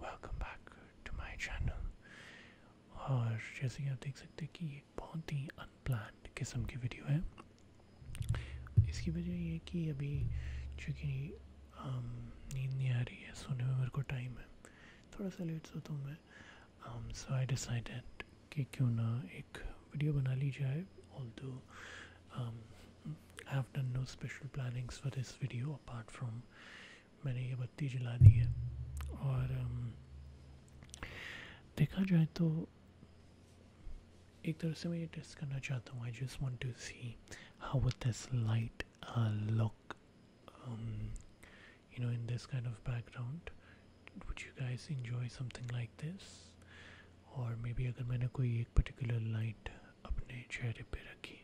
Welcome back to my channel और जैसे कि आप देख सकते हैं कि ये बहुत ही अनप्लान्ड किस्म की वीडियो है इसकी वजह ये है कि अभी चूँकि नींद नहीं आ रही है सोने में मेरे को टाइम है थोड़ा सा लेट सोता हूँ मैं सो आई डिसाइडेड कि क्यों ना एक वीडियो बना ली जाए ऑल दो I have done no special plannings for this video apart from मैंने ये बत्ती जला दी है और देखा जाए तो एक तरह से मैं ये टेस्ट करना चाहता हूँ I just want to see how what this light look you know in this kind of background would you guys enjoy something like this और मे बी अगर मैंने कोई एक पर्टिकुलर लाइट अपने चेहरे पे रखी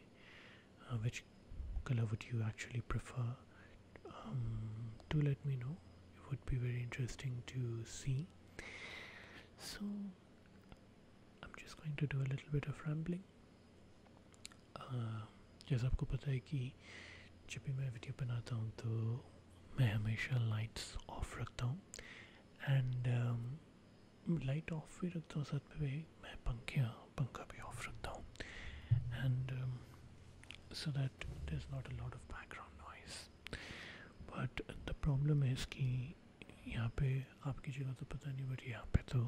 Uh, which color would you actually prefer To um, let me know it would be very interesting to see so i'm just going to do a little bit of rambling uh, जैसा आपको पता है कि जब भी मैं video बनाता हूँ तो मैं हमेशा लाइट ऑफ भी रखता हूँ साथ में मैं पंखे पंखा भी ऑफ रखता हूँ and so that there is not a lot of background noise but the problem है इसकी यहाँ पे आपकी जगह तो पता नहीं बट यहाँ पे तो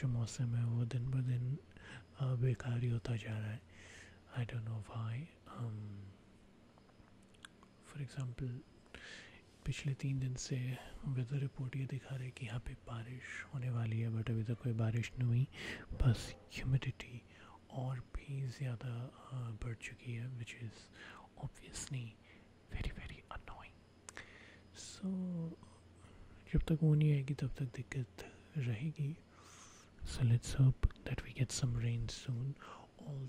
जो मौसम है वो दिन ब दिन बेकार ही होता जा रहा है I don't know why for example पिछले तीन दिन से वेदर रिपोर्ट ये दिखा रहे कि यहाँ पे बारिश होने वाली है बट अभी तक कोई बारिश नहीं हुई बस ह्यूमिडिटी और भी ज़्यादा बढ़ चुकी है which is obviously very very annoying so जब तक वो नहीं आएगी तब तक दिक्कत रहेगी so let's hope that we get some rain soon all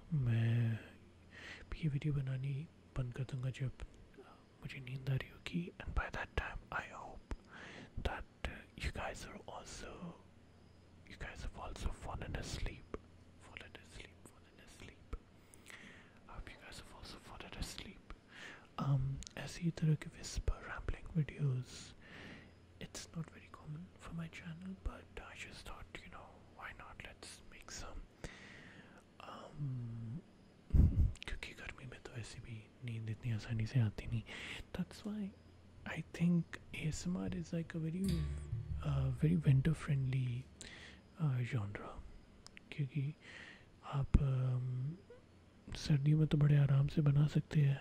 मैं भी वीडियो बनानी बंद कर दूंगा जब मुझे नींद आ रही होगी and by that time I hope that you guys are also you guys have also fallen asleep fallen asleep fallen asleep I hope you guys have also fallen asleep um ऐसी तरह के whisper rambling videos it's not very common for my channel, but I just thought, you know, why not? Let's make some. Um, क्योंकि गर्मी में तो ऐसे भी नींद इतनी आसानी से आती नहीं that's why I think ASMR is like a very uh, very winter friendly uh, genre क्योंकि आप um, सर्दियों में तो बड़े आराम से बना सकते हैं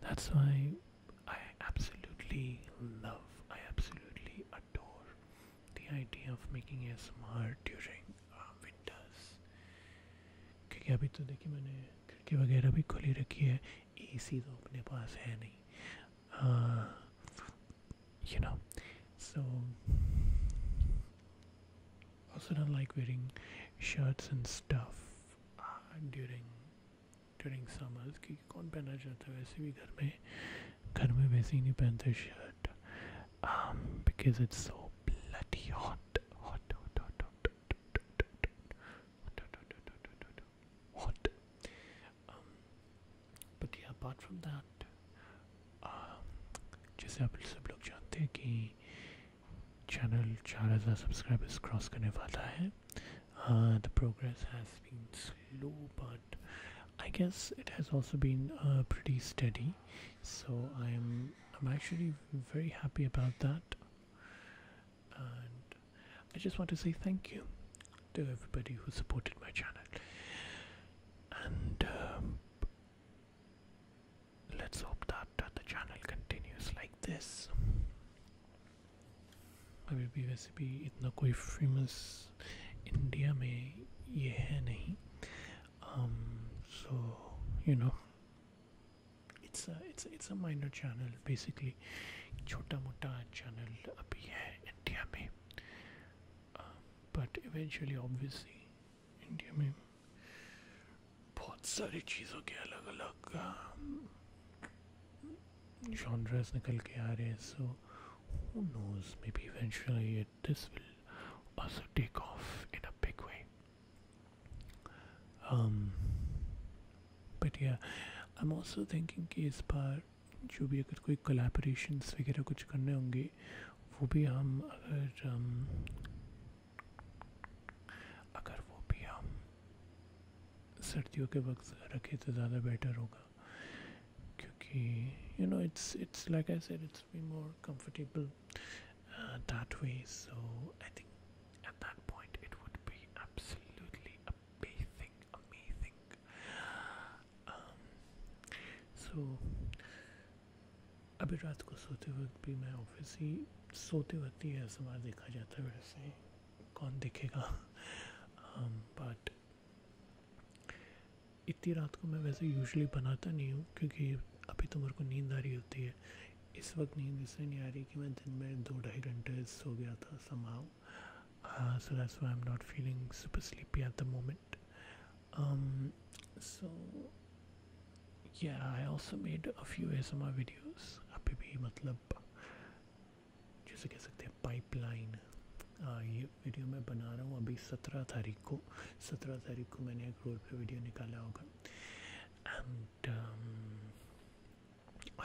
that's why I absolutely love, I absolutely adore the idea of making a ASMR during uh, winters. क्योंकि अभी तो देखिए मैंने the वगैरह भी खुली रखी I एसी तो अपने पास है नहीं you know so also don't like wearing shirts and stuff uh, during during summers क्योंकि कौन पहनना चाहता है वैसे भी घर में घर में वैसे ही नहीं पहनते shirt because it's so bloody hot hot जैसे आप सब लोग जानते हैं कि चैनल 4000 सब्सक्राइबर्स क्रॉस करने वाला uh, The progress has been slow, but I guess it has also been uh, pretty steady, so I'm I'm actually very happy about that, and I just want to say thank you to everybody who supported my channel. And um, let's hope that after the channel continues like this अभी भी वैसे भी इतना कोई famous India में ये है नहीं so you know it's it's it's a minor channel basically छोटा मोटा चैनल अभी है इंडिया में बट इवेंचुअली ऑब्वियसली इंडिया में बहुत सारी चीज़ों के अलग अलग जॉनर्स निकल के आ रहे हैं so who knows maybe eventually this will also take off in a big way but yeah I am also thinking कि इस बार जो भी अगर कोई कोलेबरेशंस वगैरह कुछ करने होंगे वो भी हम अगर um, अगर वो भी हम सर्दियों के वक्त रखें तो ज़्यादा बेटर होगा क्योंकि you know it's it's like I said it's be more comfortable that way so I think at that point it would be absolutely amazing amazing so अभी रात को सोते वक्त भी मैं ऑफिस ही सोते वक्त ही ऐसा बार देखा जाता है वैसे कौन देखेगा बट um, इतनी रात को मैं वैसे यूजली बनाता नहीं हूँ क्योंकि अभी तो मेरे को नींद आ रही होती है इस वक्त नींद इसलिए नहीं आ रही कि मैं दिन में दो ढाई घंटे सो गया था somehow so that's I am not feeling super sleepy at the moment so yeah I also made a few ASMR videos अभी भी मतलब जैसे कह सकते हैं पाइपलाइन हाँ, ये वीडियो मैं बना रहा हूँ अभी सत्रह तारीख को सत्रह तारीख को मैंने एक रोड पे वीडियो निकाला होगा and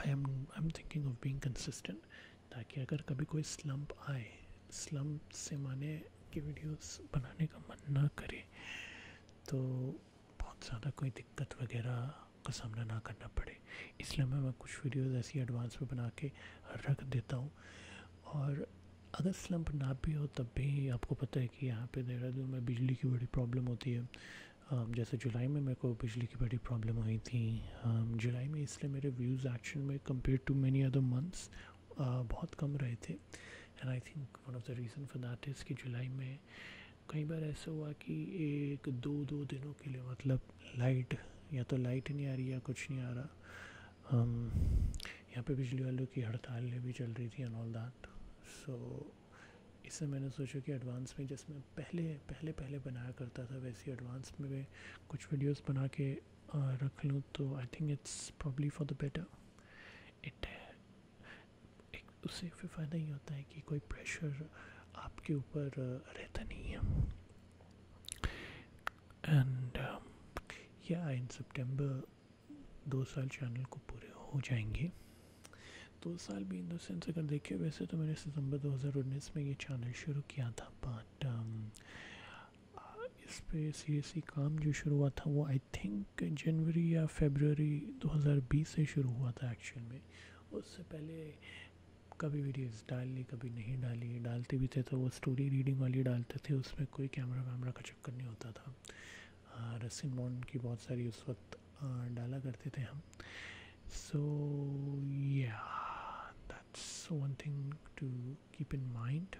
I am I am thinking of being consistent ताकि अगर कभी कोई स्लम्प आए स्लम्प से माने कि वीडियोस बनाने का मन ना करे तो बहुत ज़्यादा कोई दिक्कत वगैरह का सामना ना करना पड़े इसलिए मैं, मैं कुछ वीडियोस ऐसी एडवांस में बना के रख देता हूँ और अगर स्लम्प ना भी हो तब भी आपको पता है कि यहाँ पे देहरादून में बिजली की बड़ी प्रॉब्लम होती है जैसे जुलाई में मेरे को बिजली की बड़ी प्रॉब्लम हुई थी जुलाई में इसलिए मेरे व्यूज़ एक्शन में compare to many other months बहुत कम रहे थे and I think one of the reason for that is कि जुलाई में कई बार ऐसा हुआ कि एक दो दो दिनों के लिए मतलब लाइट या तो लाइट नहीं आ रही या कुछ नहीं आ रहा um, यहाँ पे बिजली वालों की हड़ताल भी चल रही थी एंड ऑल दैट सो इससे मैंने सोचा कि एडवांस में जिसमें पहले पहले पहले बनाया करता था वैसे एडवांस में मैं कुछ वीडियोज़ बना के रख लूँ तो I think it's probably for the better it uh, एक उससे फिर फ़ायदा ही होता है कि कोई प्रेशर आपके ऊपर uh, रहता नहीं है एंड um, या इन सितंबर दो साल चैनल को पूरे हो जाएंगे दो साल भी इन देंस अगर देखे वैसे तो मैंने सितंबर 2019 में ये चैनल शुरू किया था बट um, इस पर सीरियसली e काम जो शुरू हुआ था वो आई थिंक थिंक जनवरी या फेबररी 2020 से शुरू हुआ था एक्शन में उससे पहले कभी वीडियोस डाल ली कभी नहीं डाली डालते भी थे तो वो स्टोरी रीडिंग वाली डालते थे उसमें कोई कैमरा वैमरा का चक्कर नहीं होता था हाँ, रसिन मॉन की बहुत सारी उस वक्त डाला करते थे हम so yeah that's one thing to keep in mind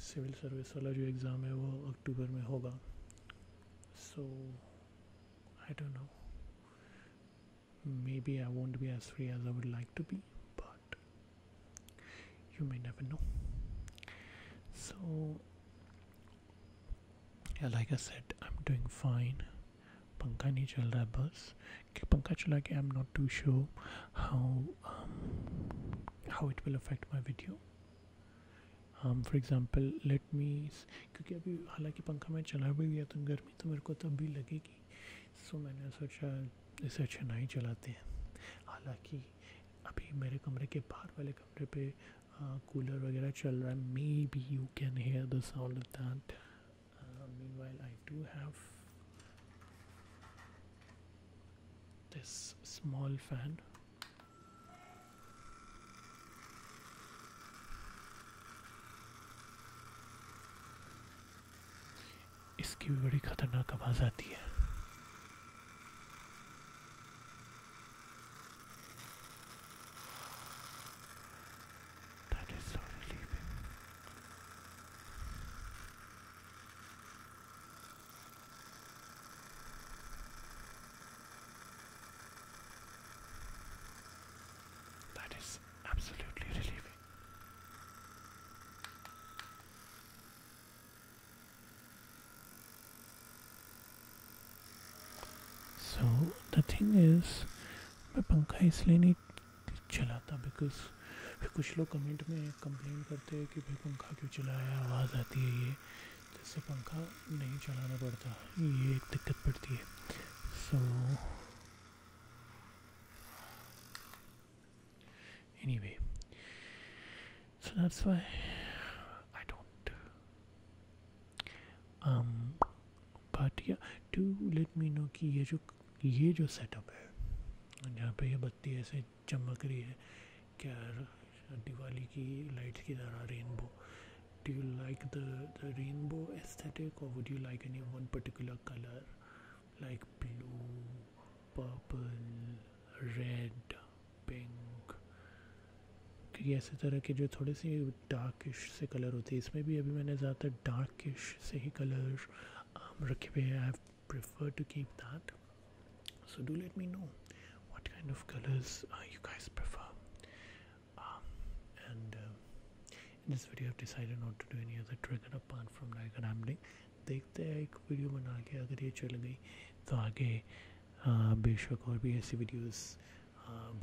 civil um, service वाला जो एग्ज़ाम है वो अक्टूबर में होगा so I don't know maybe I won't be as free as I would like to be but you may never know. So, yeah, like I said, I'm doing fine. पंखा नहीं चल रहा है बस कि पंखा चला के I am not to show how um, how it will affect my video for example let me क्योंकि अभी हालांकि पंखा मैं चला भी गया तो गर्मी तो मेरे को तब भी लगेगी सो मैंने सोचा इसे अच्छा नहीं चलाते हैं हालांकि अभी मेरे कमरे के बाहर वाले कमरे पे कूलर वगैरह चल रहा है maybe you can hear the sound of that meanwhile I do have this small fan इसकी भी बड़ी खतरनाक आवाज़ आती है That is absolutely relieving. So the thing is, my bunker is leaning चलाता बिकॉज फिर कुछ लोग कमेंट में कंप्लेन करते हैं कि भाई पंखा क्यों चलाया आवाज़ आती है ये जिससे पंखा नहीं चलाना पड़ता ये एक दिक्कत पड़ती है so anyway so that's why I don't but या टू लेट मी नो कि ये जो ये जो सेटअप है जहाँ पे ये बत्ती ऐसे चमक रही है क्या दिवाली की लाइट्स की तरह rainbow do you like the the rainbow aesthetic और would you like any one particular colour like blue purple red pink क्योंकि ऐसे तरह के जो थोड़े से डार्किश से कलर होते हैं इसमें भी अभी मैंने ज़्यादातर डार्किश से ही कलर रखे हुए हैं I have prefer to keep that so do let me know what kind of colors uh, you guys prefer um, and uh, in this video I've decided not to do any other trigger apart from diagram देखते हैं एक video बना के अगर ये चल गई तो आगे बेशक और भी ऐसी वीडियोस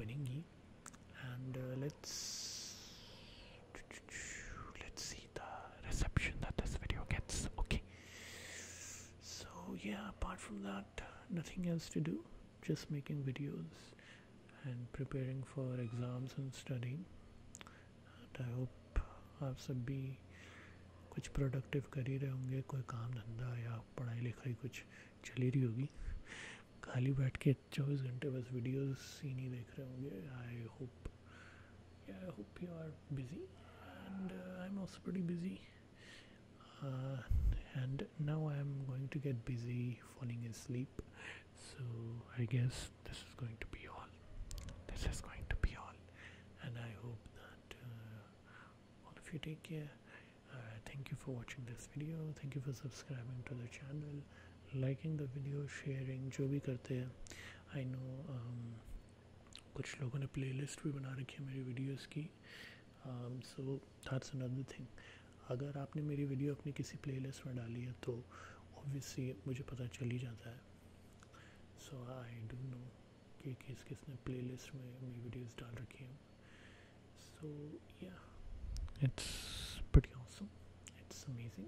बनेंगी and let's let's see the reception that this video gets. Okay. So yeah, apart from that, nothing else to do. Just making videos and preparing for exams and studying. And I hope आप सब भी कुछ productive कर ही रहे होंगे कोई काम धंधा या पढ़ाई लिखाई कुछ चल ही रही होगी खाली बैठ के चौबीस घंटे बस वीडियोस ही नहीं देख रहे होंगे I hope yeah I hope you are busy and uh, I'm also pretty busy uh, and now I'm going to get busy falling asleep so I guess this is going to be all this is going to be all and I hope that uh, all of you take care thank you for watching this video thank you for subscribing to the channel liking the video sharing जो भी करते हैं I know um, कुछ लोगों ने playlist भी बना रखी है मेरी वीडियोज़ की सो दैट्स अनदर थिंग अगर आपने मेरी वीडियो अपनी किसी प्ले लिस्ट में डाली है तो ऑब्वियसली मुझे पता चल ही जाता है सो आई डू नो कि किस किसने लिस्ट में मेरी वीडियोस डाल रखी हैं सो या it's pretty awesome it's amazing